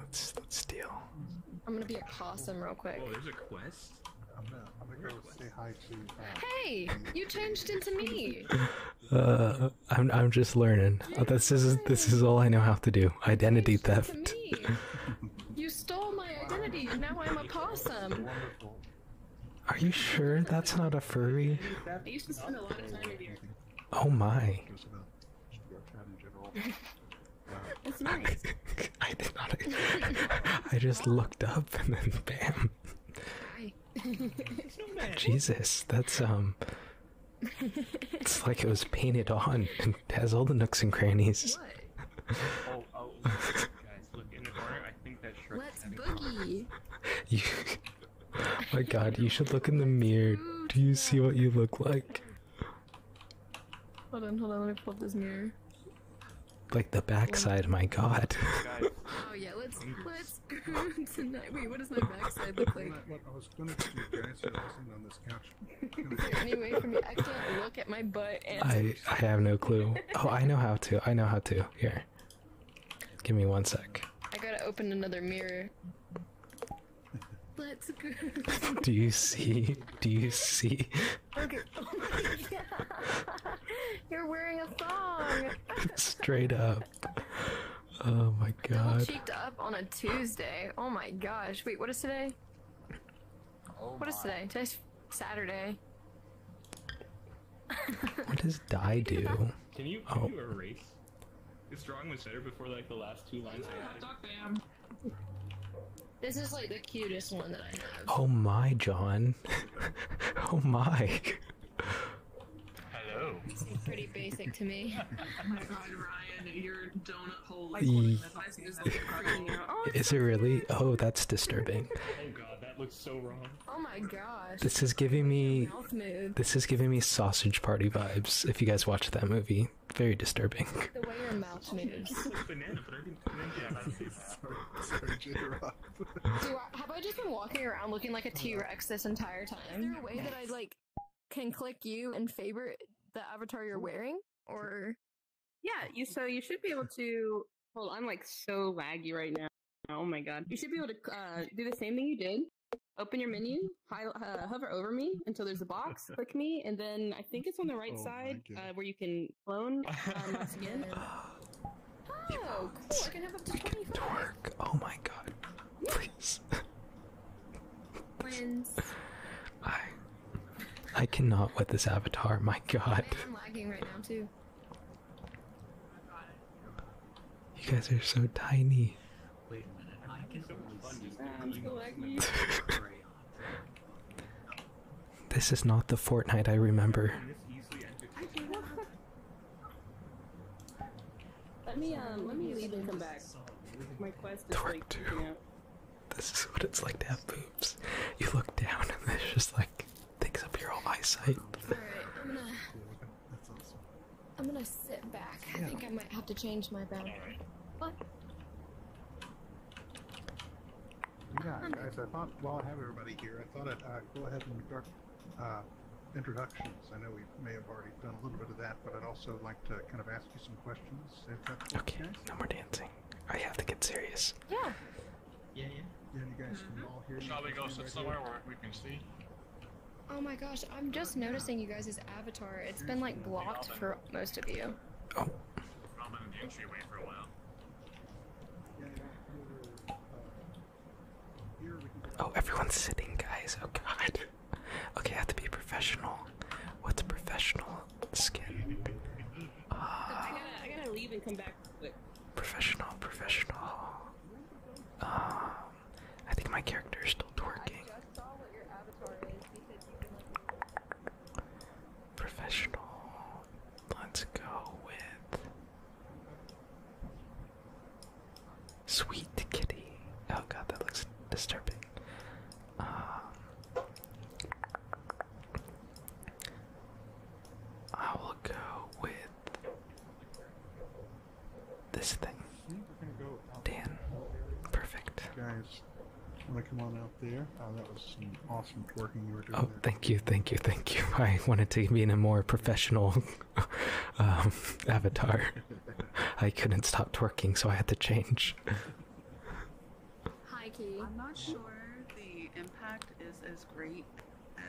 Let's let's steal. I'm gonna be a possum real quick. Oh, there's a quest. I'm gonna, I'm gonna go say hi to. Uh, hey, you changed into me. uh, I'm I'm just learning. Uh, this is this is all I know how to do. Identity theft. you stole my identity. and Now I'm a possum. Are you sure that's not a furry? Oh my. It's nice. I did not. I just looked up and then bam. Jesus, that's um. It's like it was painted on and has all the nooks and crannies. What? oh, oh, oh guys, look in the mirror. I think that Shrek. Let's boogie. you, my God, you should look in the mirror. Do you see what you look like? Hold on, hold on, let me pull up this mirror. Like the backside, my god. oh yeah, let's let's tonight. Wait, what does my backside look like? I was gonna do, guys, you're on this couch. anyway, for me, I can't look at my butt. I I have no clue. Oh, I know how to. I know how to. Here, give me one sec. I gotta open another mirror. Let's go. do you see? Do you see? Okay. Oh my God. You're wearing a thong. Straight up. Oh my god. Double cheeked up on a Tuesday. Oh my gosh. Wait, what is today? Oh what is today? Today's Saturday. what does die do? Can you, oh. you erase this drawing was better before like the last two lines. This is like the cutest one that I have. Oh my, John. oh my. Hello. It seems pretty basic to me. oh my god, Ryan, you your donut hole is oh, Is it really? Oh, that's disturbing. Oh god, that looks so wrong. Oh my God. This is giving me. This is giving me sausage party vibes if you guys watch that movie very, disturbing. The way your mouth moves. have I just been walking around looking like a T Rex this entire time? Is there a way that I like can click you and favorite the avatar you're wearing? Or yeah, you so you should be able to. Hold, on, I'm like so laggy right now. Oh my god, you should be able to uh, do the same thing you did Open your menu, uh, hover over me until there's a box, click me, and then I think it's on the right oh side uh, where you can clone um, my skin. oh, cool! can have Oh my god! Please. Friends. I. I cannot with this avatar. My god. I am lagging right now too. You guys are so tiny. Wait a minute, This is not the Fortnite I remember. Let me um let me leave come back. My quest is like, This is what it's like to have boobs. You look down and it's just like takes up your whole eyesight. Alright, i I'm gonna sit back. I think I might have to change my background. What? Yeah, guys, I thought while I have everybody here, I thought I'd uh, go ahead and start uh, introductions. I know we may have already done a little bit of that, but I'd also like to kind of ask you some questions. okay, no more dancing. I have to get serious. Yeah. Yeah, yeah. guys can mm-hmm. all hear Shall we go somewhere where we can see? Oh my gosh, I'm just noticing you guys' avatar. it has been like blocked for most of you. Oh, oh. everyone's sitting, guys. Oh god. Okay, I have to be professional. What's a professional skin? I, gotta, leave and come back Professional, professional. Um, I think my character is still twerking. Professional. Let's go with Sweet Kitty. Oh god, that looks disturbing. Um, I will go with this thing. Dan. Perfect. Guys, I'm gonna come out there. Uh, that was some awesome twerking you Oh, thank you, thank you, thank you. I wanted to be in a more professional um, avatar. I couldn't stop twerking, so I had to change. Hi, Key. I'm not sure the impact is as great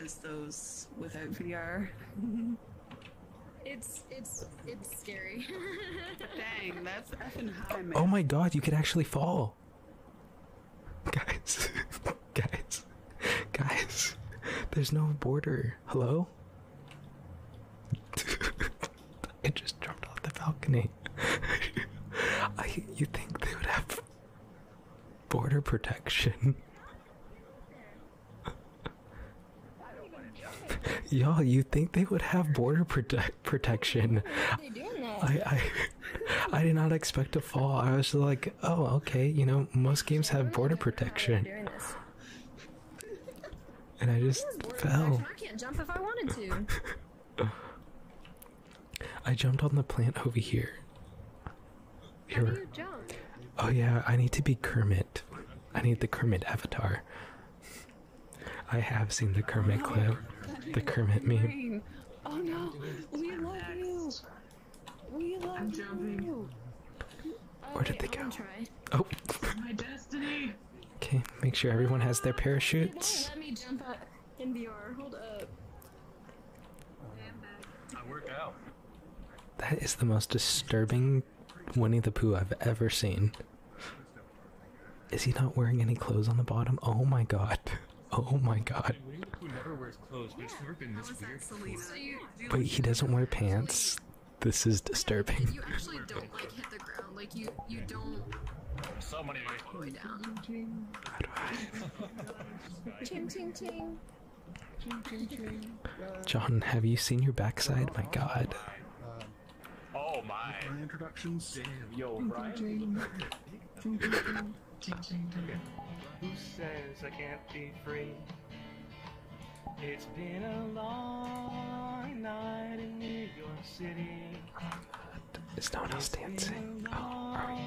as those without VR. it's it's it's Oh my god, you could actually fall. Guys, guys, guys, there's no border. Hello? It just jumped off the balcony. I, you think they would have border protection? Y'all, you think they would have border prote protection? I, I, I did not expect to fall. I was like, oh, okay, you know, most games have border protection. And I just fell. I can't jump if I wanted to. I jumped on the plant over here. Oh yeah, I need to be Kermit. I need the Kermit avatar. I have seen the Kermit clip. The Kermit meme. Oh no! We love you! We love you! Where did they go? Oh! Okay, make sure everyone has their parachutes. Let me jump out NBR. Hold up. I work out. That is the most disturbing Winnie the Pooh I've ever seen. Is he not wearing any clothes on the bottom? Oh my god. Oh my god. Wait, he doesn't wear pants? This is disturbing. You actually don't hit the ground. Like you don't Somebody way down. How do John, have you seen your backside? My god. Oh my. My introductions. yo, Brian. Who says I can't be free? It's been a long night in New York City. Is no one else dancing? Oh, are we?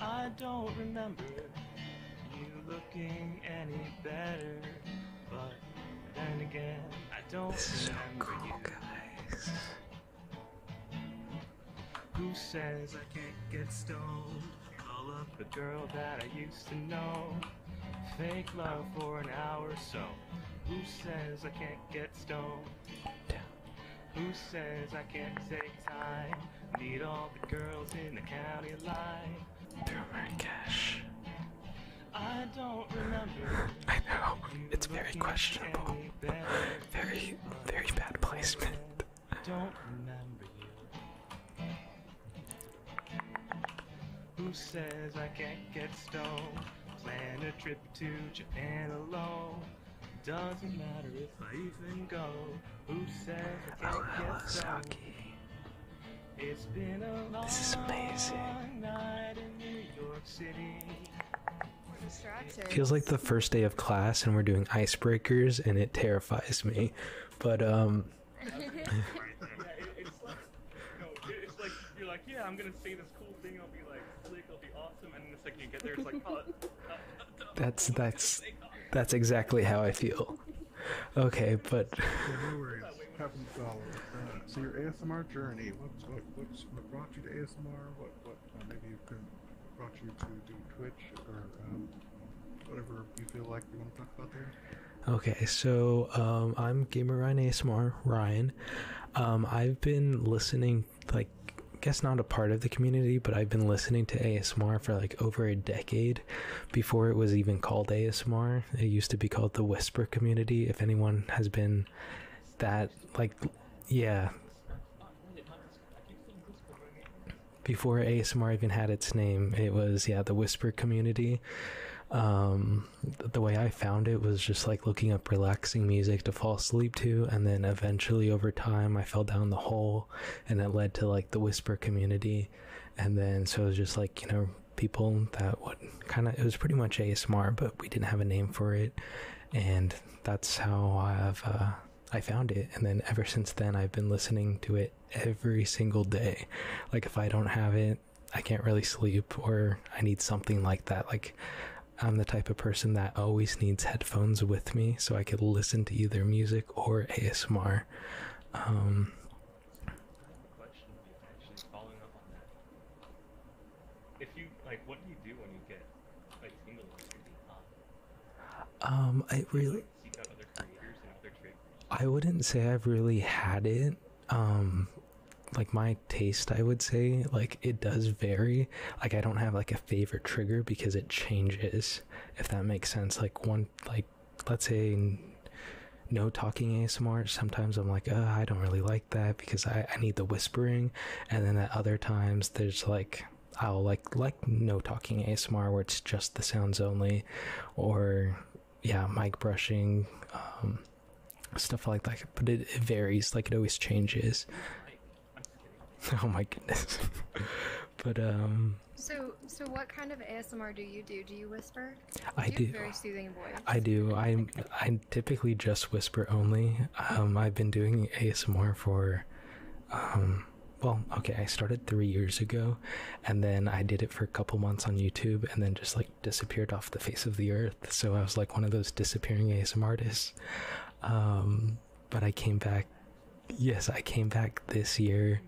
I don't remember you looking any better, but then again, I don't this remember you. Who says I can't get stoned? Call up a girl that I used to know. Fake love for an hour or so. Who says I can't get stoned? Who says I can't take time? Meet all the girls in the county line. They're wearing cash. I don't remember. I know. It's very questionable. very, very bad placement. don't remember you. Who says I can't get stoned? Plan a trip to Japan alone. Doesn't matter if I even go. Who says I can't get stoned? Hockey. This is amazing. Feels like the first day of class and we're doing icebreakers and it terrifies me. But um it's like you're like, yeah, I'm gonna say this cool thing, I'll be like slick, I'll be awesome, and the second you get there, it's like, oh, oh, that's that's that's exactly how I feel. Okay, but so your ASMR journey. What's brought you to ASMR? Uh, maybe you can brought you to do Twitch or um, whatever you feel like you want to talk about Okay, so um, I'm Gamer Ryan ASMR Ryan. Um, I've been listening, like, I guess not a part of the community, but I've been listening to ASMR for like over a decade before it was even called ASMR. It used to be called the Whisper Community. If anyone has been that, like, yeah. Before ASMR even had its name, it was, yeah, the Whisper Community. Um, the way I found it was just like looking up relaxing music to fall asleep to, and then eventually over time I fell down the hole, and it led to like the whisper community, and then so it was just like, you know, people that would kind of, it was pretty much ASMR, but we didn't have a name for it. And that's how I've, uh, I found it. And then ever since then, I've been listening to it every single day. Like if I don't have it, I can't really sleep or I need something like that. Like I'm the type of person that always needs headphones with me so I could listen to either music or ASMR. Um, If you like, what do you do when you get like single Um, I really. I wouldn't say I've really had it. Um, like my taste, I would say, like it does vary. Like I don't have like a favorite trigger because it changes. If that makes sense, like one like let's say no talking ASMR, sometimes I'm like, I don't really like that because I, I need the whispering. And then at other times, there's like, I'll like, like no talking ASMR where it's just the sounds only, or yeah, mic brushing, um, stuff like that. But it varies, like, it always changes. Oh my goodness. but um. So, so what kind of ASMR do you do? Do you whisper? I do. very soothing voice. I do. I I typically just whisper only. Um, I've been doing ASMR for, um, well, okay, I started three years ago, and then I did it for a couple months on YouTube, and then just like disappeared off the face of the earth. So I was like one of those disappearing ASMR artists. Um, but I came back yes, I came back this year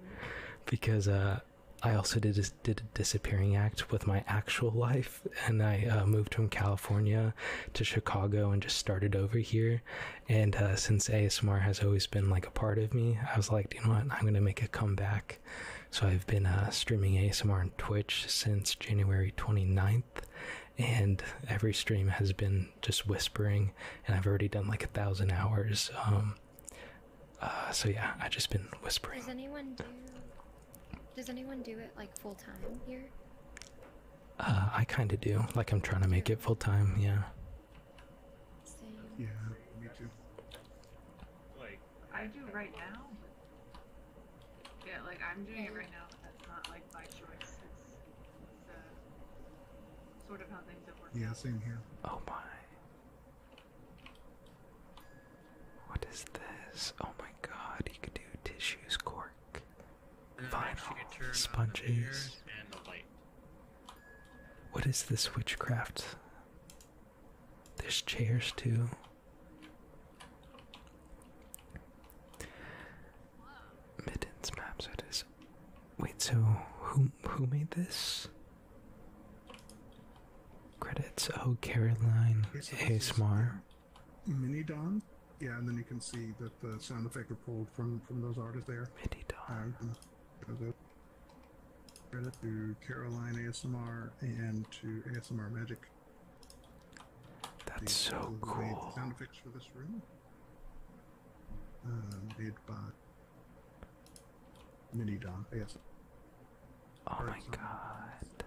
because uh, I also did a, did a disappearing act with my actual life, and I uh, moved from California to Chicago and just started over here. And uh, since ASMR has always been like a part of me, I was like, you know what, I'm gonna make a comeback. So I've been streaming ASMR on Twitch since January 29th, and every stream has been just whispering, and I've already done like a thousand hours. Um, uh, so yeah, I've just been whispering. Does anyone do? Does anyone do it like full time here? Uh, I kind of do. Like I'm trying to make it full time. Yeah. Same. Yeah, me too. Like I do right now. Yeah, like I'm doing it right now, but that's not like by choice. It's, uh, sort of how things have Yeah, same here. Oh my. What is this? Oh my god, you could do tissues, cork, vinyl, uh, sponges. What is this witchcraft? There's chairs too. Mittens maps it is. Wait, so who who made this? Credits. Oh, Caroline ASMR. Mini Don. Yeah, and then you can see that the sound effects are pulled from from those artists there. Mini Don. Um, credit to Caroline ASMR and to ASMR Magic. That's so cool. Sound effects for this room. Uh, made by Mini don I guess. Oh my god.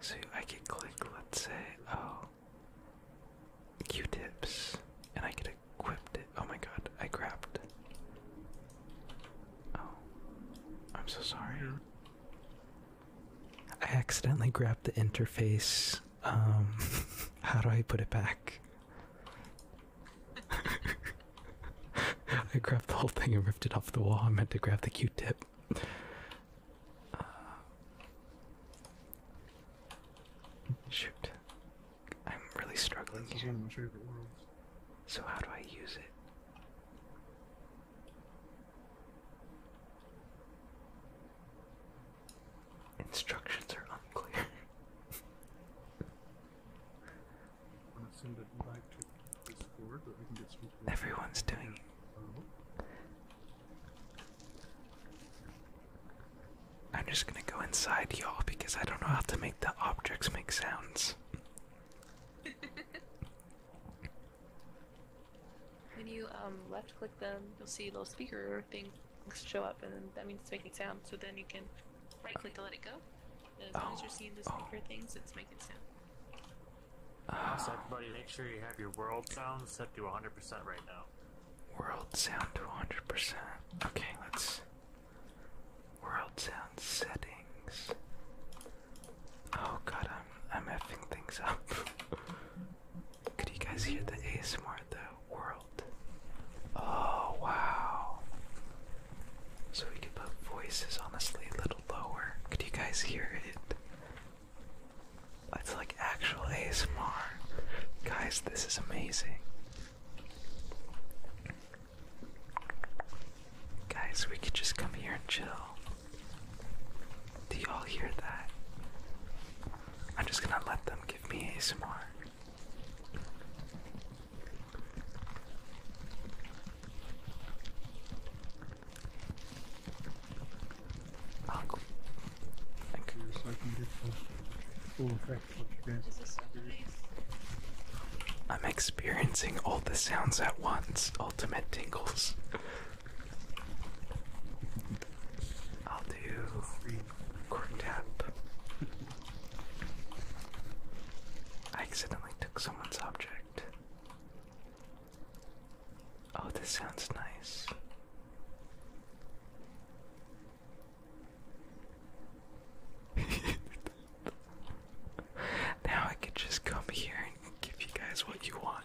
So I could click, let's say, oh, Q-tips, and I could equipped it. Oh my god, I grabbed. Oh, I'm so sorry. I accidentally grabbed the interface um, how do I put it back? I grabbed the whole thing and ripped it off the wall. I meant to grab the Q-tip. Uh, shoot, I'm really struggling. So how do I use it? Instructions are unclear. Everyone's doing it. I'm just gonna go inside, y'all, because I don't know how to make the objects make sounds. When you um, left click them, you'll see little speaker things show up, and that means it's making sound. So then you can right click to let it go. as long as you're oh. seeing the speaker things, it's making sound. Uh, ah. everybody, make sure you have your world sound set to 100% right now. World sound to 100%. Okay, let's. World sound settings. Oh god, I'm I'm effing things up. Could you guys hear the ASMR the world? Oh wow. So we could put voices honestly a little lower. Could you guys hear it? It's like actual ASMR. Guys, this is amazing. Guys, we could just come here and chill. Do you all hear that? I'm just gonna let them give me ASMR. Oh, cool. Thank you. So I can get the full effect of what you guys I'm experiencing all the sounds at once. Ultimate tingles. I'll do quartet. I accidentally took someone's object. Oh, this sounds nice. now I could just come here and give you guys what you want.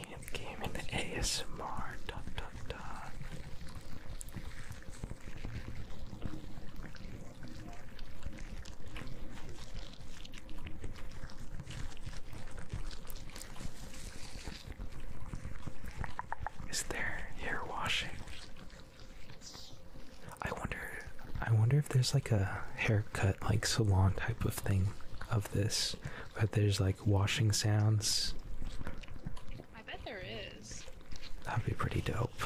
can't game ASMR. Is there hair washing? I wonder I wonder if there's like a haircut like salon type of thing of this but there's like washing sounds I bet there is. That'd be pretty dope.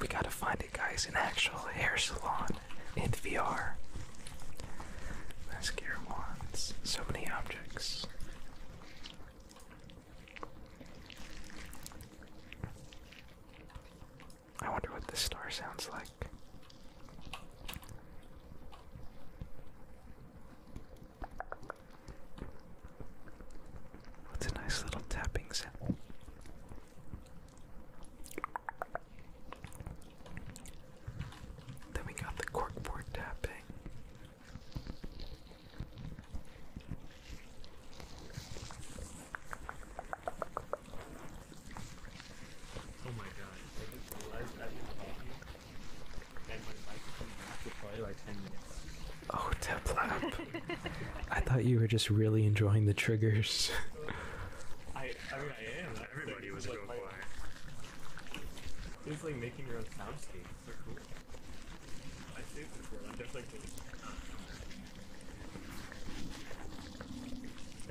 We gotta find it, guys, in actual hair salon in VR. Mascara wands. So many objects. I wonder what this star sounds like. What's a nice little tapping sound? Then we got the corkboard tapping. Oh my god. Oh, tap lap. I thought you were just really enjoying the triggers. I, I mean, I am. Everybody was going my, it's like making your own soundscapes. they So cool. I saved this world. i definitely cool.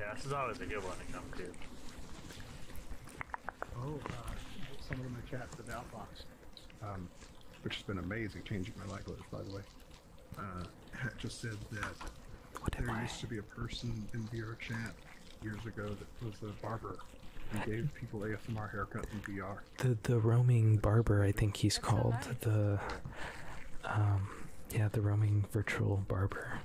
Yeah, this is always a good one to come to. Oh, some of them are chats about box, which has been amazing, changing my language, by the way. Uh, just said that there used to be a person in VR chat years ago that was a barber and gave people ASMR haircuts in VR. The the roaming barber, I think he's called the, um, yeah, the roaming virtual barber.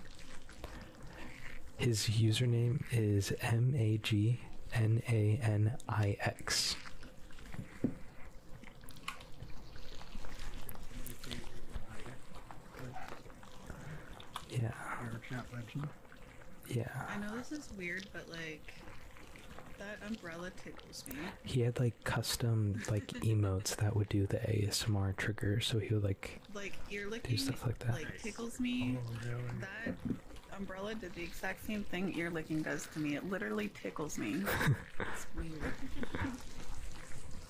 His username is M A G N A N I X. Yeah. Yeah. I know this is weird, but like that umbrella tickles me. He had like custom like emotes that would do the ASMR trigger, so he would like like ear licking, do stuff like that. Like tickles me. That umbrella did the exact same thing ear licking does to me. It literally tickles me.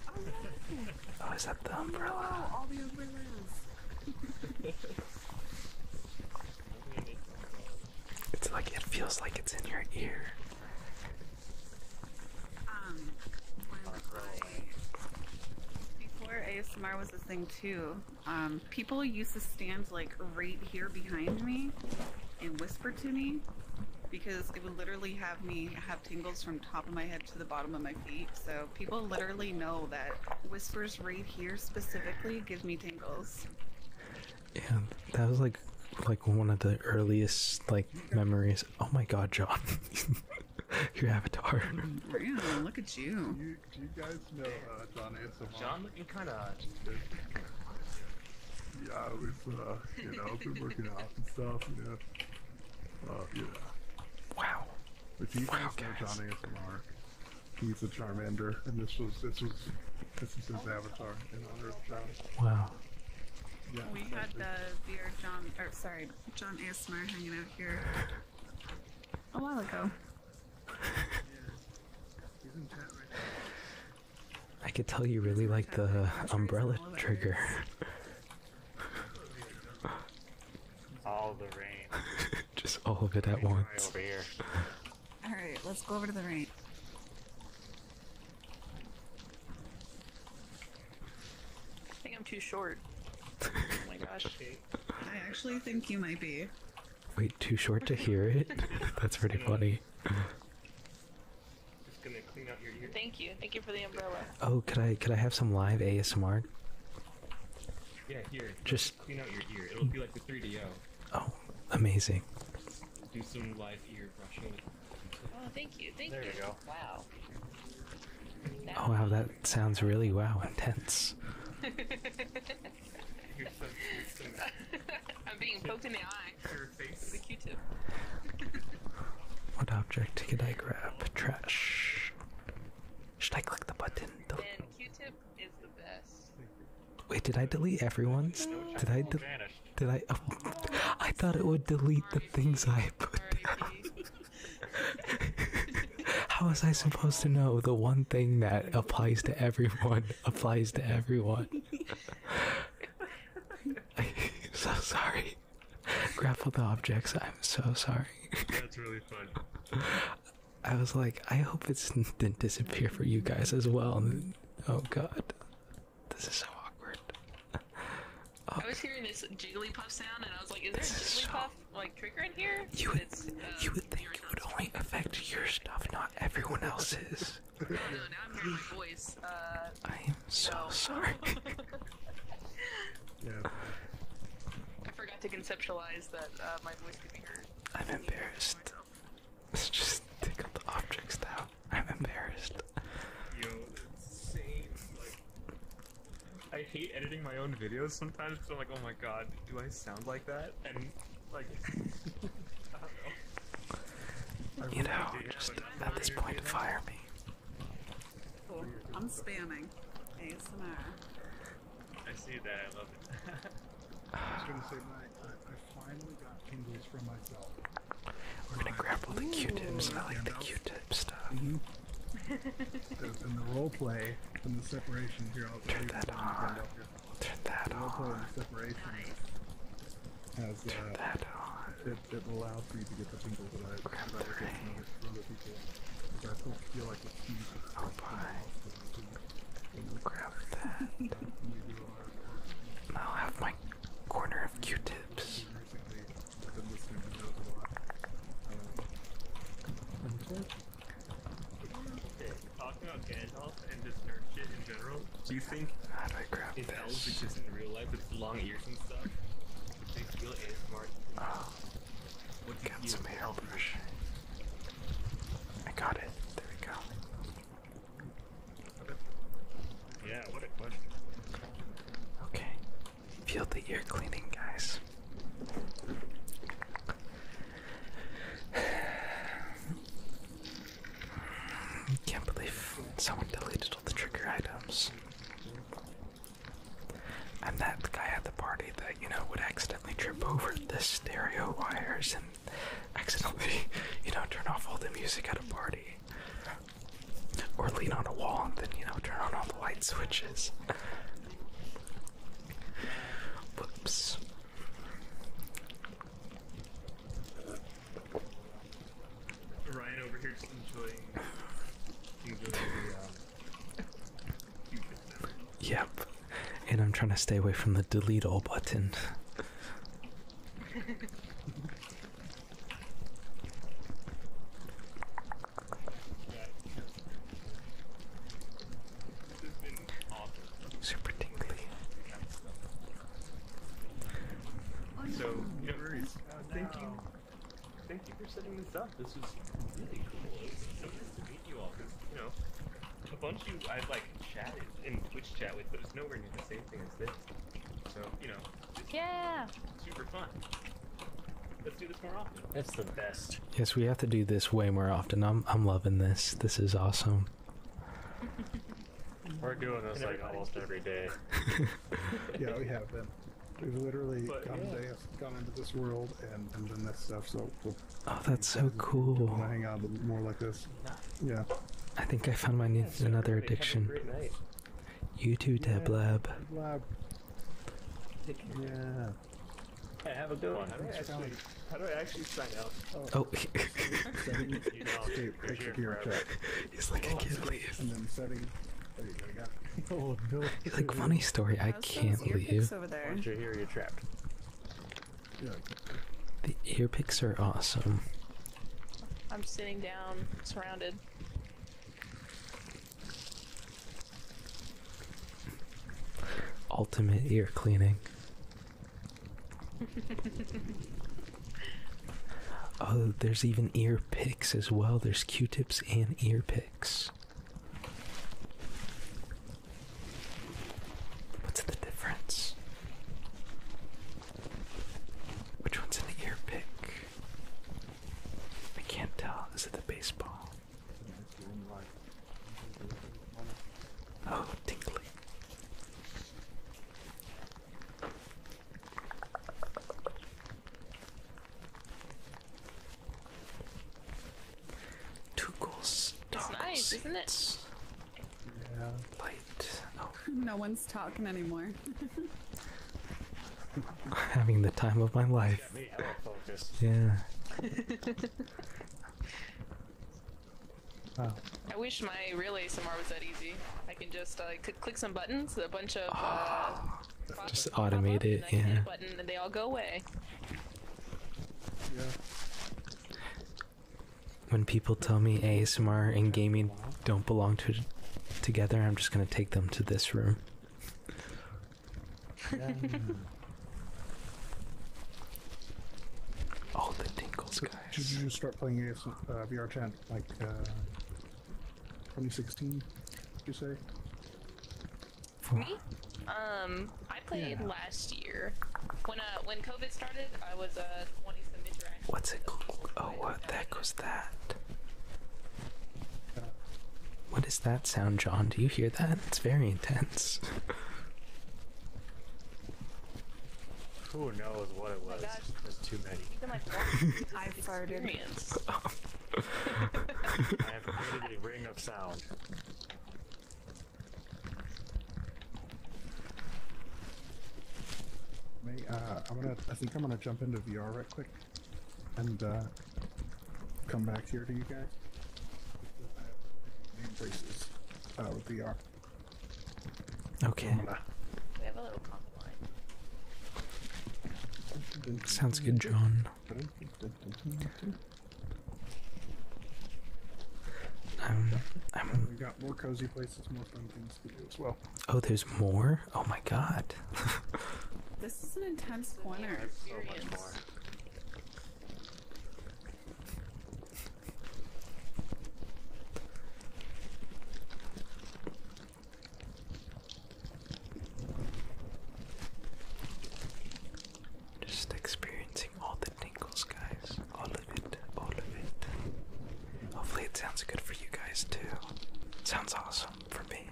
oh, is that the umbrella? Oh, it's like it feels like it's in your ear. Um, before ASMR this thing too. Um, people used to stand like right here behind me and whisper to me because it would literally have me have tingles from top of my head to the bottom of my feet. So people literally know that whispers right here specifically gives me tingles. Yeah, that was like like one of the earliest like memories. Oh my god, John. Your avatar. Really? Look at you do you guys know uh, John ASMR? John looking kind of odd. Yeah, we've uh, you know, been working out and stuff, you know. Uh, yeah. Wow. If you wow, guys, guys know John ASMR, he's a Charmander, and this was, this was, avatar in honor of John. Wow. we had the beer John, or sorry, John Asmar hanging out here a while ago. I could tell you really like the umbrella trigger. all the rain. Just all of it at once. All right, let's go over to the rain. I think I'm too short. oh my gosh. I actually think you might be. Wait, too short to hear it? That's pretty funny. Just gonna clean out your ears. Thank you. Thank you for the umbrella. Oh, could I could I have some live ASMR? Yeah, here. Just clean out your ear. It'll be like the 3DO. Oh, amazing. Do some live ear brushing. Oh, thank you. Thank you. There you go. Wow. Oh wow, that sounds really wow intense. I'm being poked in the eye. With a Q-tip. what object could I grab? Trash. Should I click the button? Del and Q-tip is the best. Wait, did I delete everyone's? No, did I? Did I? Oh, I thought it would delete the things I put down. How was I supposed to know the one thing that applies to everyone applies to everyone? I'm so sorry. Grapple the objects. I'm so sorry. That's really fun. I was like, I hope it didn't disappear for you guys as well. Oh god, this is so awkward. I was hearing this jiggly puff sound, and I was like, "Is there this jiggly puff? like trigger in here. You would, uh, you would think it would only affect your stuff, not everyone else's. I'm uh, so sorry. I forgot to conceptualize that uh, my voice could be heard. I'm embarrassed. Let's just take the objects now. I'm embarrassed. I hate editing my own videos sometimes because I'm like, oh my god, do I sound like that? And like, I don't know. You know, really just at this point, fire me. I'm spamming ASMR. I see that. I love it. I was gonna say, my, I, I finally got tingles from myself. We're gonna grapple the Q-tips. I like the Q-tip stuff. Mm-hmm. That's in the role play and the separation here. I'll turn that on. Turn that on. Role play and the separation nice. has, uh, turn uh, that on. It, it allows for you to get the tingles that I get from other people. Because I don't feel like it's easy. Oh, bye. Grab that. and I'll have my corner of Q-tips. Recently, I've been listening to those a lot. Um, talking about Gandalf and just nerd shit in general, do you think How do I grab if elves exist in real life with long ears and stuff? Would they feel ASMR? Oh. What got some hairbrush. I got it. There we go. Okay. Yeah, what a question. Okay, Feel the ear cleaning, guys. Can't believe someone deleted all the trigger items. i that guy at the party that, you know, would accidentally trip over the stereo wires and accidentally, you know, turn off all the music at a party. Or lean on a wall and then, you know, turn on all the light switches. Whoops. Ryan over here is enjoying, enjoying um, Yep. And I'm trying to stay away from the delete all button. Super tingly. So, no worries. Uh, thank you. Thank you for setting this up. This was really cool. It's so nice to meet you all. Cause you know, a bunch of you I've like chatted in Twitch chat with, but it's nowhere near the same thing as this. So you know, yeah, super fun. Let's do this more often. That's the best. Yes, we have to do this way more often. I'm I'm loving this. This is awesome. We're doing this like almost every day. yeah, we have been. We've literally come, yeah. to, come into this world and, done this stuff. So oh, that's so cool. Yeah. I think I found my another addiction. You too, yeah. Lab. Lab. Yeah. Hey, have a good one. How do I actually, sign up? Oh, oh. setting He's like, funny story. I can't leave. The ear picks are awesome. I'm sitting down, surrounded. Ultimate ear cleaning. oh, there's even ear picks as well. There's Q-tips and ear picks. What's the difference? Which one's an ear pick? I can't tell. Is it the baseball? Oh, tingly. Two goals. It's nice, isn't it? Yeah. Light. Oh. No one's talking anymore. Having the time of my life. Yeah. I wish my real ASMR was that easy. I can just uh, click some buttons, a bunch of. Uh, just automate it, yeah. Yeah. When people tell me ASMR and gaming don't belong to together, I'm just gonna take them to this room oh, the tingles, guys. Should you start playing AS, VR chat like uh, 2016? You say? Me? Um, I played last year. When uh, when COVID started, I was uh, 20 some What's it called? Oh, what the heck was that? What is that sound, John? Do you hear that? It's very intense. Who knows what it was? too many. I have created a ring of sound. Uh, i think I'm gonna jump into VR right quick, and uh, come back here to you guys. places. Uh, with VR. Okay. Sounds good, John. Um, we got more cozy places, more fun things to do as well. Oh, there's more? Oh my god. this is an intense corner. Just experiencing all the tingles, guys. All of it, all of it. Hopefully, it sounds good for you guys, too. sounds awesome for me.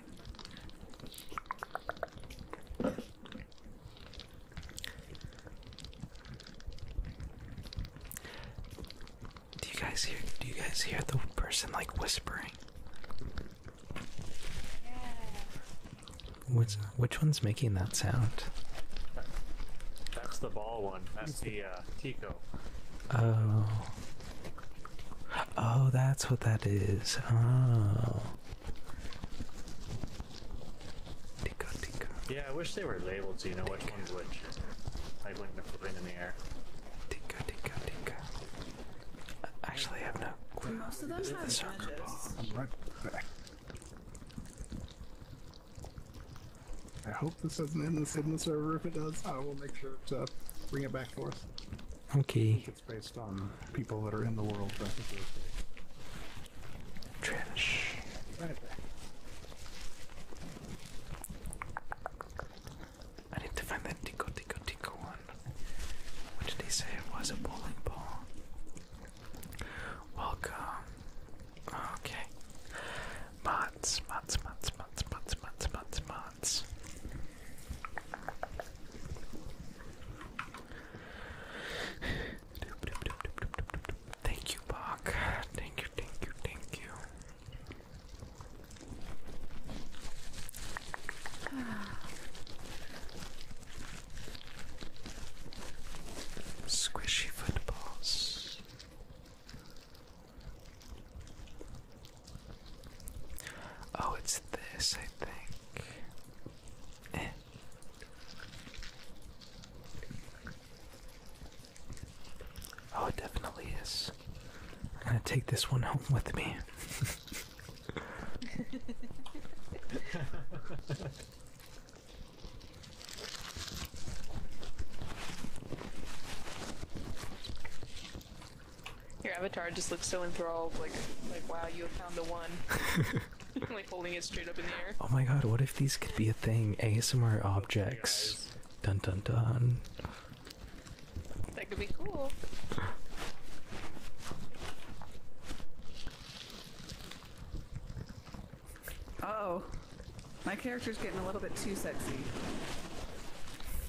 Do you guys hear do you guys hear the person like whispering? Yeah. Which which one's making that sound? That's the ball one. That's the uh, Tico. Oh. Oh, that's what that is. Oh. Yeah, I wish they were labeled so you know which one's which. Like when they're flying in the air. Tinka, tinka, tinka. actually, I have no clue. Most the soccer ball. i hope this doesn't end this in server. If it does, I will make sure to bring it back for us. Okay it's based on people that are in the world. But I need to find that Tico Tico Tico one. What did he say it was? A bowling ball. Welcome. Okay. Mods, mods, mods, mods, mods, mods, mods, mods. Thank you, Bach. Thank you, thank you, thank you. Squishy footballs. Oh, it's this, I think. Eh. Oh, it definitely is. I'm gonna take this one home with me. Your avatar just looks so enthralled, like, like wow, you have found the one. like holding it straight up in the air. Oh my god, what if these could be a thing? ASMR objects. Dun dun dun. That could be cool. oh. My character's getting a little bit too sexy.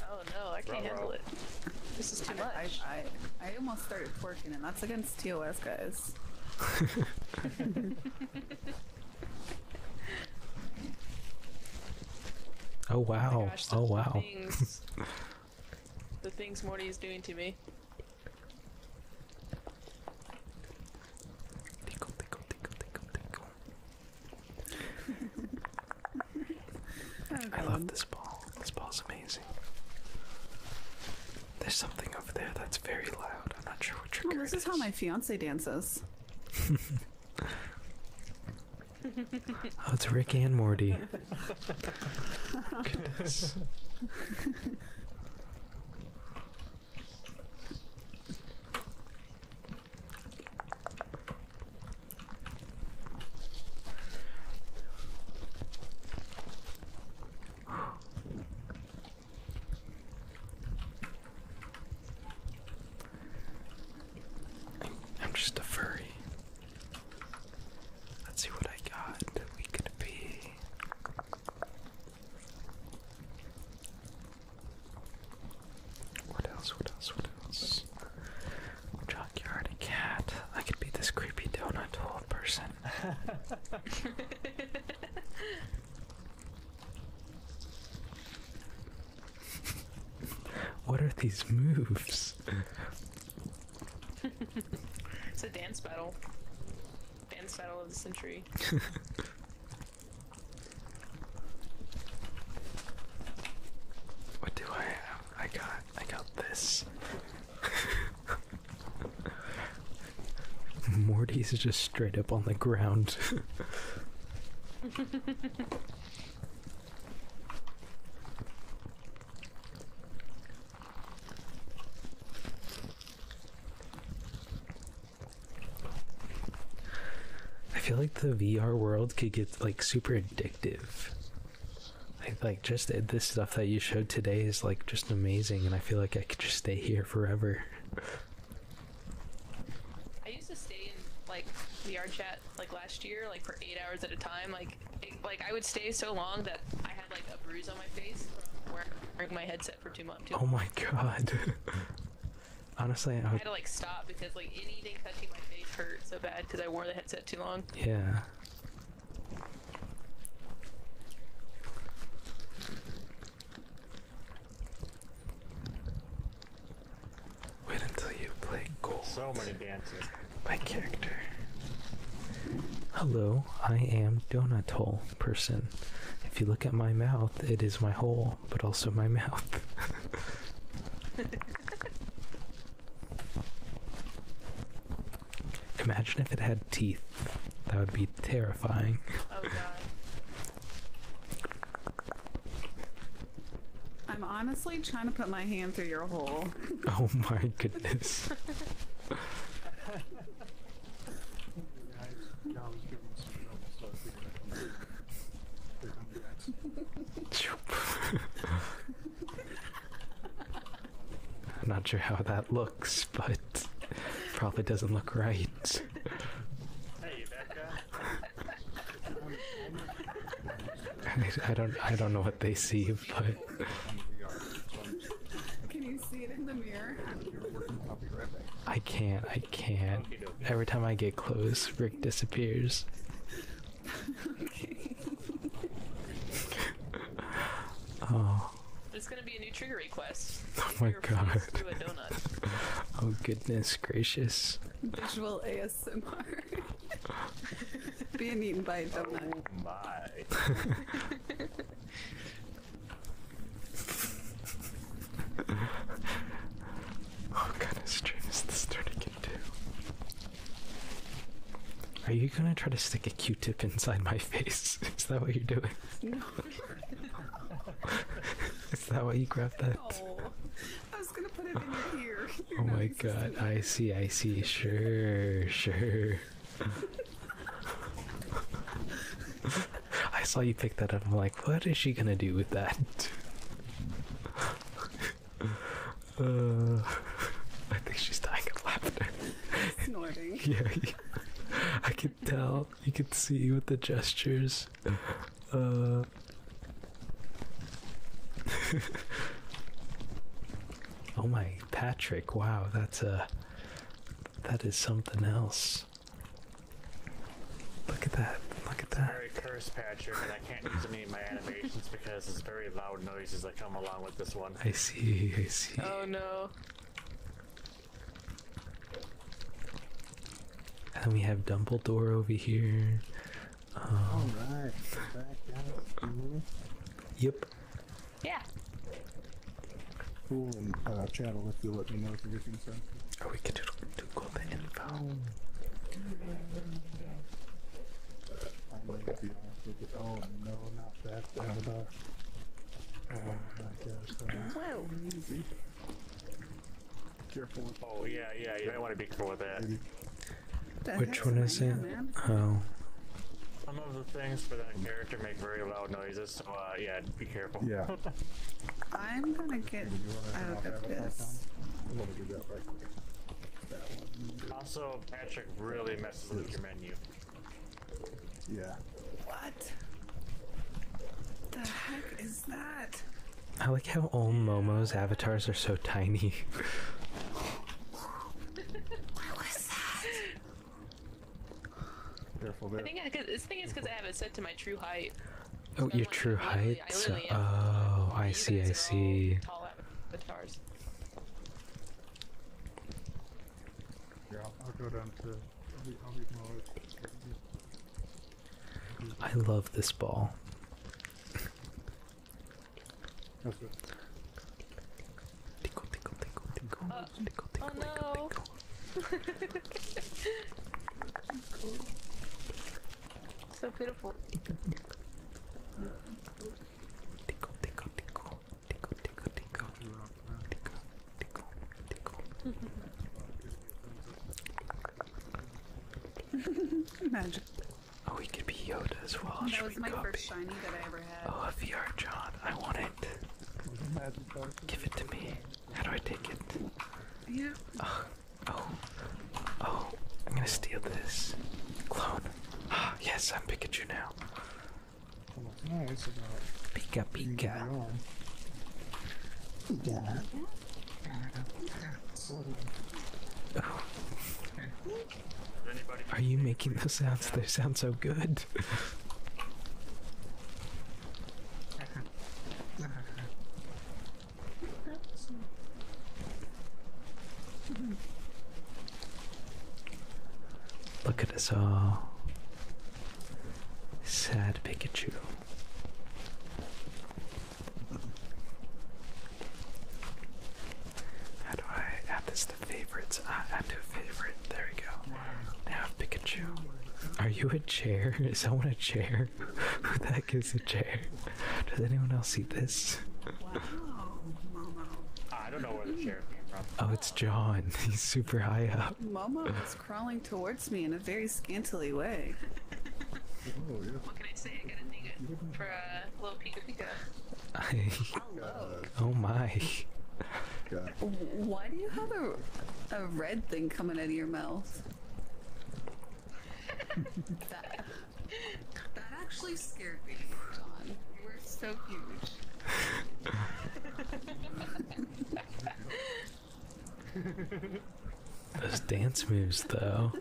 Oh no, I can't handle it. This is too much. I, I, almost started twerking and that's against TOS, guys. oh wow! Oh, oh wow! the things Morty is doing to me. I love this ball. This bar's amazing. There's something over there that's very loud. I'm not sure what trigger oh, this This is how my fiance dances. oh, it's Rick and Morty. Goodness. I'm just a furry. Let's see what I got. We could be. What else? What else? What else? Junkyard cat. I could be this creepy donut hole person. what are these moves? it's a dance battle. Dance battle of the century. what do I I got I got this. Morty's just straight up on the ground. I feel like the VR world could get like super addictive. I like just this stuff that you showed today is like just amazing, and I feel like I could just stay here forever. I used to stay in like the VR chat like last year, like for eight hours at a time. Like, like I would stay so long that I had like a bruise on my face from wearing my headset for two months. Oh my god. Honestly, I, would... I had to like stop because like anything touching my face hurt so bad because I wore the headset too long. Yeah. Wait until you play gold. My character. Hello, I am donut hole person. If you look at my mouth, it is my hole, but also my mouth. Imagine if it had teeth. That would be terrifying. Oh, I'm honestly trying to put my hand through your hole. Oh my goodness. I'm not sure how that looks, but probably doesn't look right. I, don't. I don't know what they see, but. Can you see it in the mirror? I can't. I can't. Every time I get close, Rick disappears. oh now. It's gonna be a new trigger request. Oh my god. oh goodness gracious. Visual ASMR. Being eaten by a oh donut. Oh my. what kind of stream is this turning into? Are you you gonna try to stick a Q-tip inside my face? Is that what you're doing? Is that why you grabbed that? oh my god! I see. I see. Sure. Sure. I saw you pick that up. I'm like, what is she gonna do with that? Uh, I think she's dying of laughter. Snorting. yeah, I can tell. You can see with the gestures. Uh, oh my, Patrick! Wow, that's a. Uh, that is something else. Look at that! Look at that! Very curse, Patrick, I can't use any of my animations because it's very loud noises that come along with this one. I see, I see. Oh no. And we have Dumbledore over here. Alright, um, Yep. Yeah. Cool, and uh, if you let me know if you're oh, we can do do go the info. Oh. oh no, not that another. Easy. Careful. Oh yeah, yeah. You might want to be careful with that. Which one is it? Oh. Some of the things for that character make very loud noises, so uh, yeah, be careful. Yeah. I'm gonna get out of this. Also, Patrick really messes with your menu. Yeah. What? The heck is that? I like how all Momo's avatars are so tiny. what was that? Careful there. I think this thing is because I have it set to my true height. oh, I'm your true height? oh, I see, I see. Uh, i love this ball. Uh, oh no. So beautiful. Oh, we could be Yoda as well. Should we copy? Oh, a VR John. I want it. Give it to me. How do I take it? Yeah. Oh, oh, oh. I'm gonna steal this. Clone. Ah, yes, I'm Pikachu now look nice about Pika Pika. Yeah. Oh. Are you making those sounds? They sound so good. Look at us all. Oh. Sad Pikachu. How do I add this to favorites? Ah, add to favorite. There we go. Now Pikachu. Are you a chair? Is someone a chair? Who the heck is a chair? Does anyone else see this? I don't know where the chair came from. Oh, it's John. He's super high up. Momo is crawling towards me in a very scantily way. Oh, yeah. What can I say? I got a nigga for a little pika pika. I... Oh my. God. Why do you have a, a red thing coming out of your mouth? that, that actually scared me, John. You were so huge. Those dance moves, though.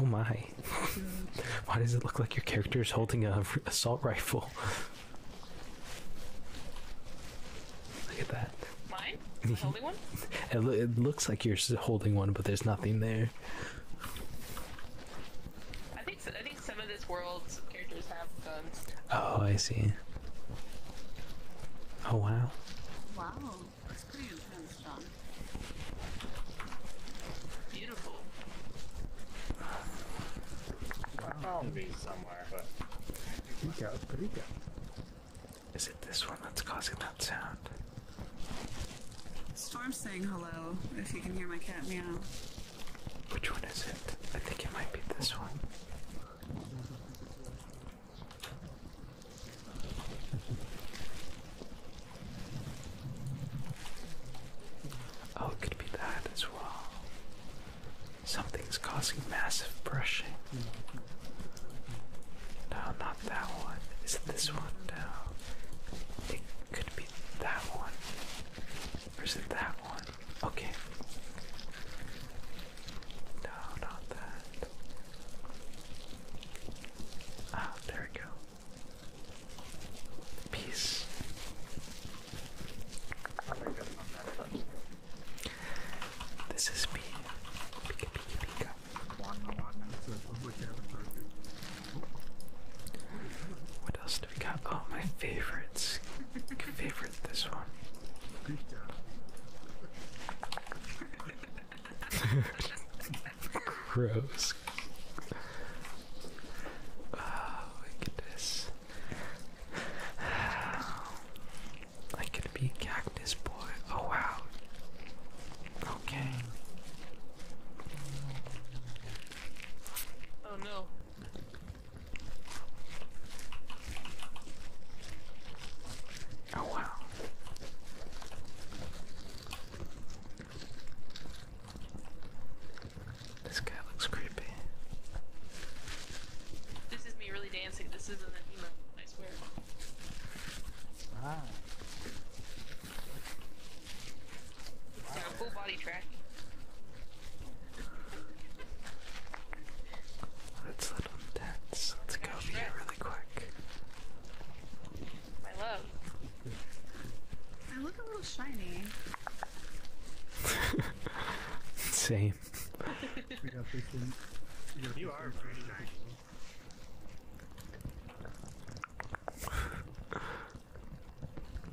Oh my. Why does it look like your character is holding a assault rifle? Look at that. Mine? Am holding one? it, looks like you're holding one, but there's nothing there. I think I think some of this world's characters have guns. Oh, I see. Oh wow. Wow, that's pretty intense, John. Beautiful. I found these somewhere. Is it this one that's causing that sound? Storm saying hello, if you can hear my cat meow. Which one is it? I think it might be this one. Oh, it could be that as well. Something's causing massive brushing. No, not that one. Is it this one? No. It could be that one. Or is it that one? Okay. No, not that. Ah, there we go. Peace. This is me. What else do we got? Oh, my favorites. Favorite this one. Gross. Oh, look at this. I could be Cactus Boy. Oh wow. Okay. Oh no. Oh wow. This guy looks creepy. This is me really dancing. This isn't an emo, I swear. Ah. full body track. Let's let them dance. Let's go here really quick. My love. I look a little shiny. Same.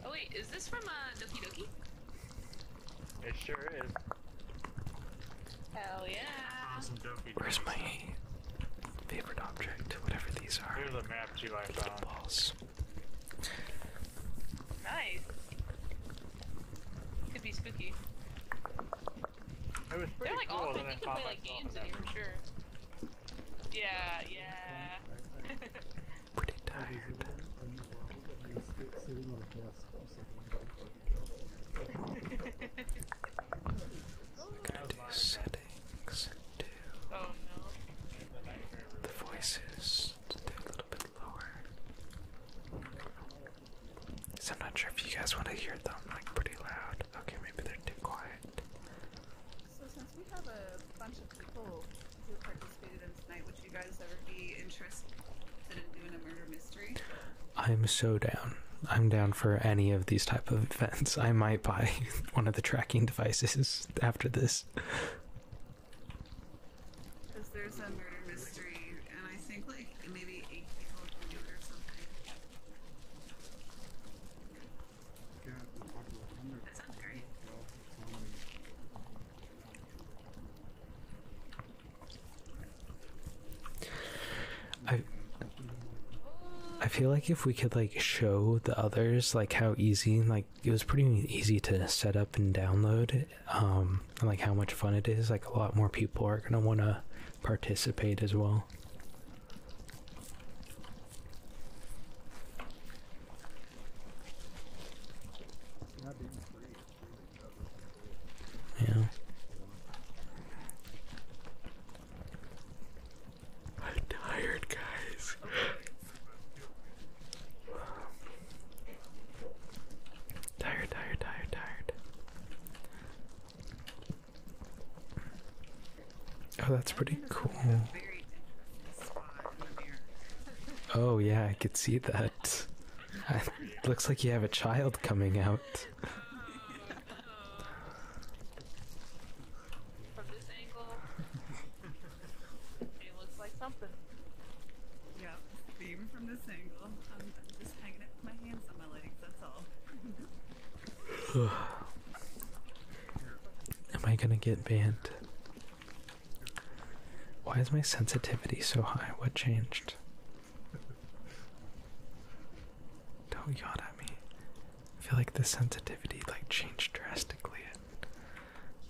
Oh wait, is this from uh, Doki Doki? It sure is. Hell yeah! Awesome Doki Doki. Where's my favorite object? Whatever these are. Here's the map too I found. Balls. Nice. Could be spooky. They're like cool they can play like games in here sure. Yeah, yeah. pretty tired. oh, no. the voices I'm not sure if you guys want to hear them like pretty loud. Okay, maybe they're too quiet. So since we have a bunch of people who participated in tonight, would you guys ever be interested in doing a murder mystery? I'm so down. I'm down for any of these type of events. I might buy one of the tracking devices after this. Because there's a murder mystery, and I think like maybe eight people can do it or something. that sounds great. I I feel like if we could like show the others like how easy like it was pretty easy to set up and download um, and like how much fun it is, like a lot more people are gonna want to participate as well. Yeah. I'm tired, guys. Tired, tired, tired, tired. Oh, that's pretty cool. Oh, yeah, I could see that. looks like you have a child coming out. Yep, theme from this angle. I'm just hanging out with my hands on my legs, that's all. Am I gonna get banned? Why is my sensitivity so high? What changed? Don't yawn at me. I feel like the sensitivity like changed drastically.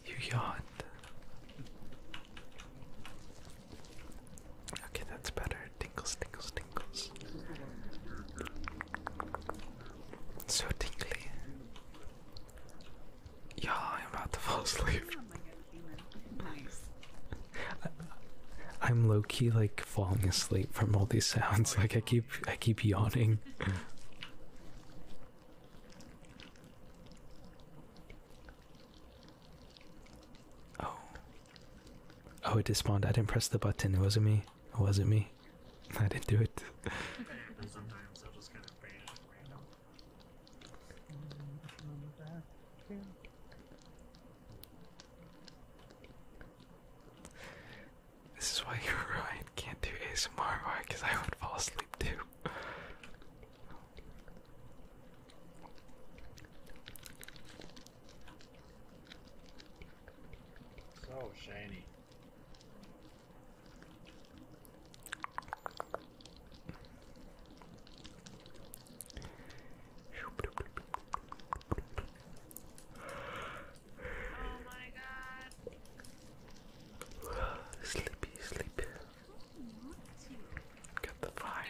You yawn. Okay, that's better. Tinkles, tinkles, tinkles. So tingly. Yeah, I'm about to fall asleep. I'm low key like falling asleep from all these sounds. Like I keep, I keep yawning. Oh. Oh, it despawned. I didn't press the button. It wasn't me. It wasn't me. I didn't do it. Sometimes i just kind of bait This is why you're right. Can't do ASMR because I would fall asleep too. So shiny. Oh my god. Sleepy, sleep. Got the fire.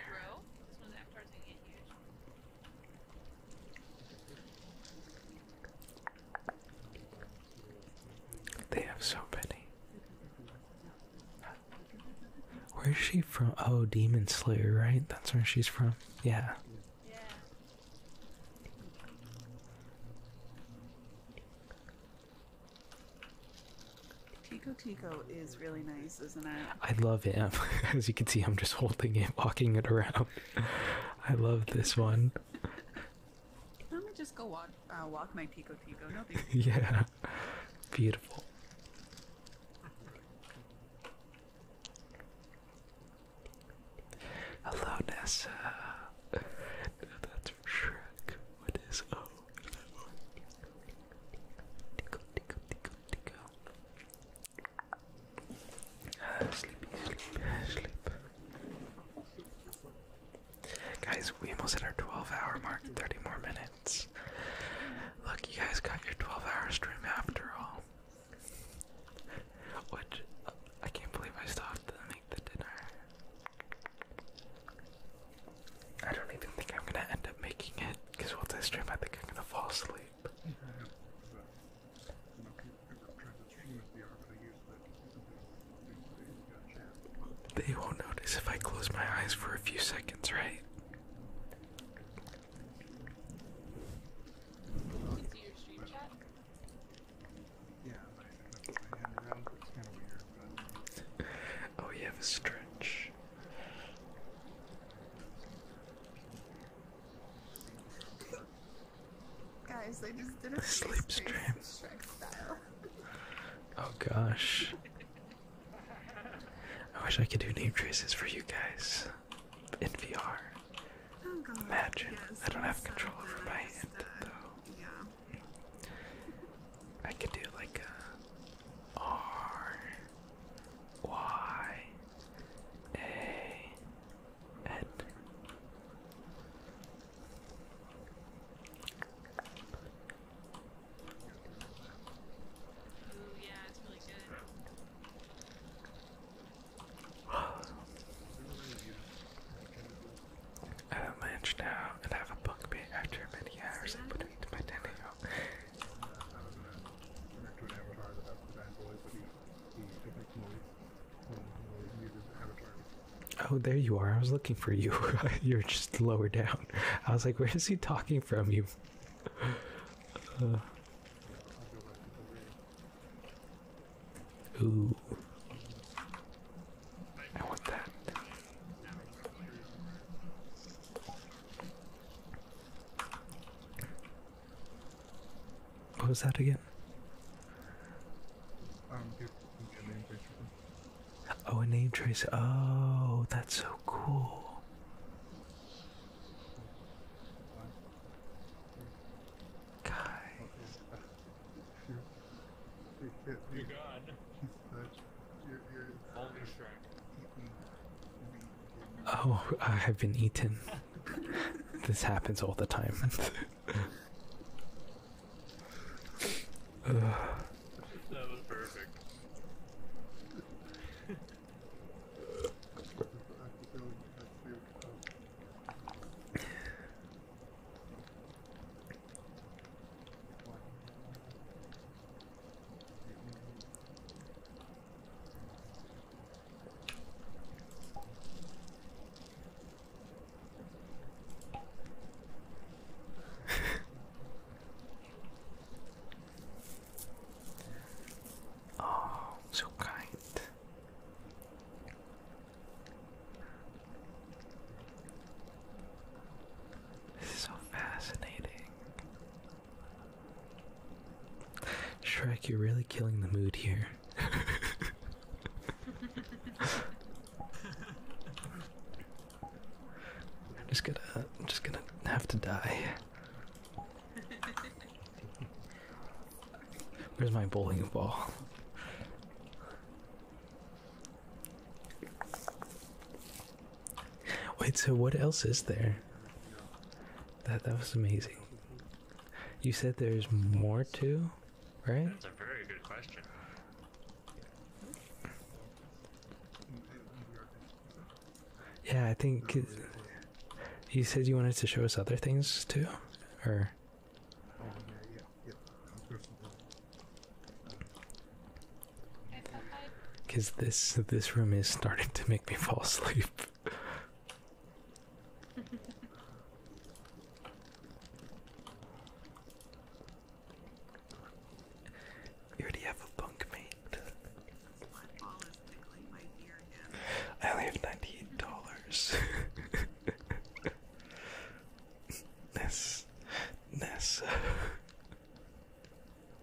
They have so many. Where's she from? Oh, Demon Slayer, right? That's where she's from. yeah. Tico Tico is really nice, isn't it? I love it. As you can see, I'm just holding it, walking it around. I love this one. Let me just go walk, uh, my Tico Tico. yeah, beautiful. Hello, Nessa. That's from Shrek. What is up? Guys, we almost hit our 12 hour mark, 30 more minutes. Look, you guys got your 12 hour stream after all. Which, I can't believe I stopped to make the dinner. I don't even think I'm gonna end up making it because once I stream, I think I'm gonna fall asleep. They won't notice if I close my eyes for a few seconds, right? oh, you have a stretch. Guys, I just did a sleep stream. Shrek Oh gosh. I wish I could do name traces for you guys in VR. Oh, Imagine. I don't have control over my hand, though. I could do like R Y A N. yeah, it's really good. have lunch now and have a bunk bed after many hours I my tiny Oh, there you are. I was looking for you. You're just lower down. I was like, where is he talking from? You. Uh, ooh. I want that. What was that again? Um, oh, a name tracer. Oh, that's so cool. Guy. Oh, I've been eaten. this happens all the time. That was perfect. oh, so kind. This is so fascinating. Shrek, you're really killing the mood here. I'm just gonna just gonna have to die. Where's my bowling ball? Wait, so what else is there? That that was amazing. You said there's more too, right? That's a very good question. Yeah, I think it, you said you wanted to show us other things too, or. Cause this this room is starting to make me fall asleep. you already have a bunk mate. I only have ninety-eight dollars. Ness, Ness.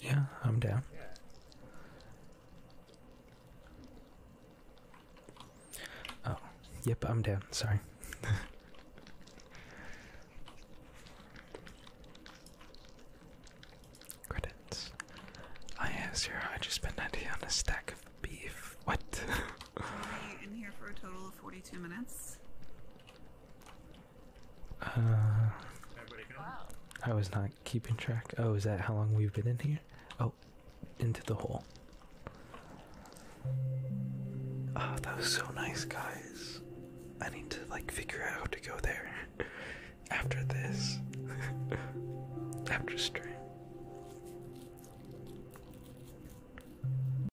Yeah, I'm down. Oh, yep, I'm down. Sorry. Credits. I asked her, I just spent 90 on a stack of beef. What? Are you in here for a total of 42 minutes? Uh, I was not keeping track. Oh, is that how long we've been in here? Oh, into the hole. Oh, that was so nice, guys. I need to like figure out how to go there after this. after stream.